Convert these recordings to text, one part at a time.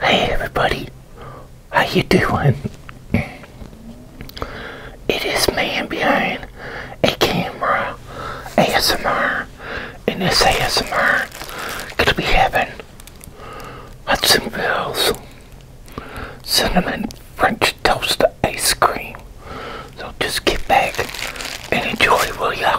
Hey everybody, how you doing? It is man behind a camera ASMR, and this ASMR gonna be having Hudsonville's cinnamon French toast ice cream. So just get back and enjoy, will ya?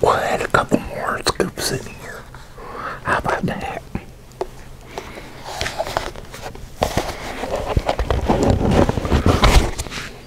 We'll add a couple more scoops in here. How about that?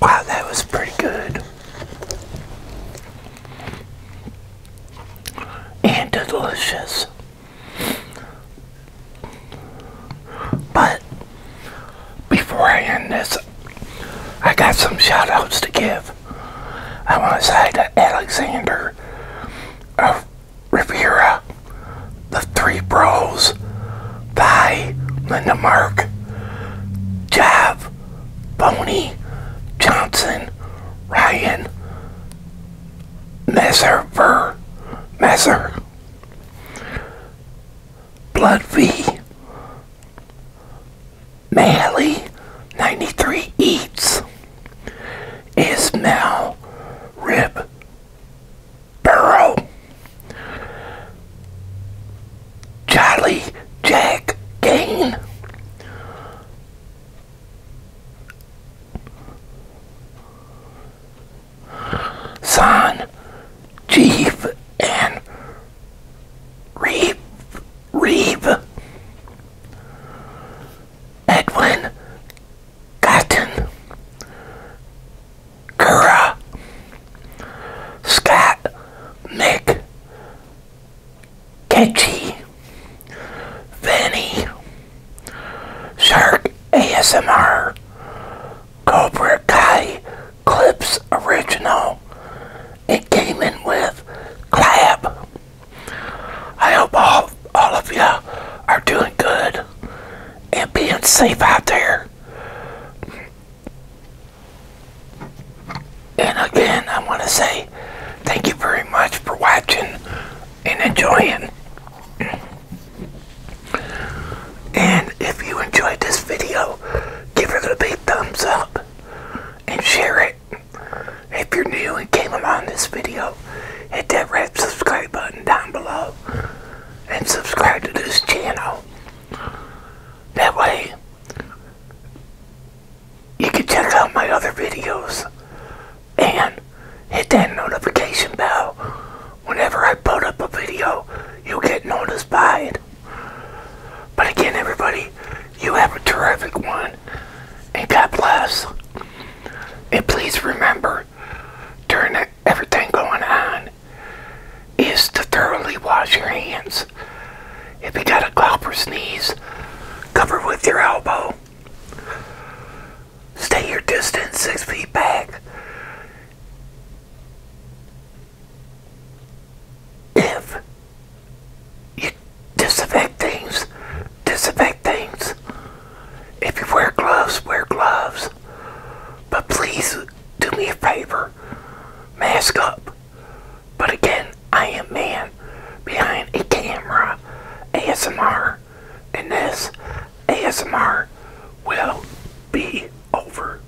Wow, that was pretty good. And delicious. But before I end this, I got some shout outs to give. I want to say to Alexander of uh, Riviera, the three bros, Thy, Linda Mark, Jeff, Boney, Johnson, Ryan, Messer, Ver, Messer, Blood V, Mally 93 Eats, Ismail Rib Burrow, Jolly Jack Gain, Son Chief and Reeve, Reeve, Edwin, Cotton, Kura, Scott, Nick, Ketchy, Vinnie, Shark ASMR, Cobra Kai. Clips Original. It came in with clap. I hope all, all of you are doing good and being safe out there. And again, I want to say thank you very much for watching and enjoying. And if you enjoyed this video, give it a big thumbs up and share it. If you're new and came along this video, hit that red subscribe button down below and subscribe to this channel. That way, you can check out my other videos and hit that notification bell. Whenever I put up a video, you'll get notified. But again, everybody, you have a terrific one. And God bless. And please remember, during everything going on, is to thoroughly wash your hands. If you got a cough or sneeze, cover with your elbow. Stay your distance six feet back if you disinfect things, disinfect things. If you wear gloves, wear gloves. But please do me a favor, mask up. But again, I am man behind a camera, ASMR, and this ASMR will be over.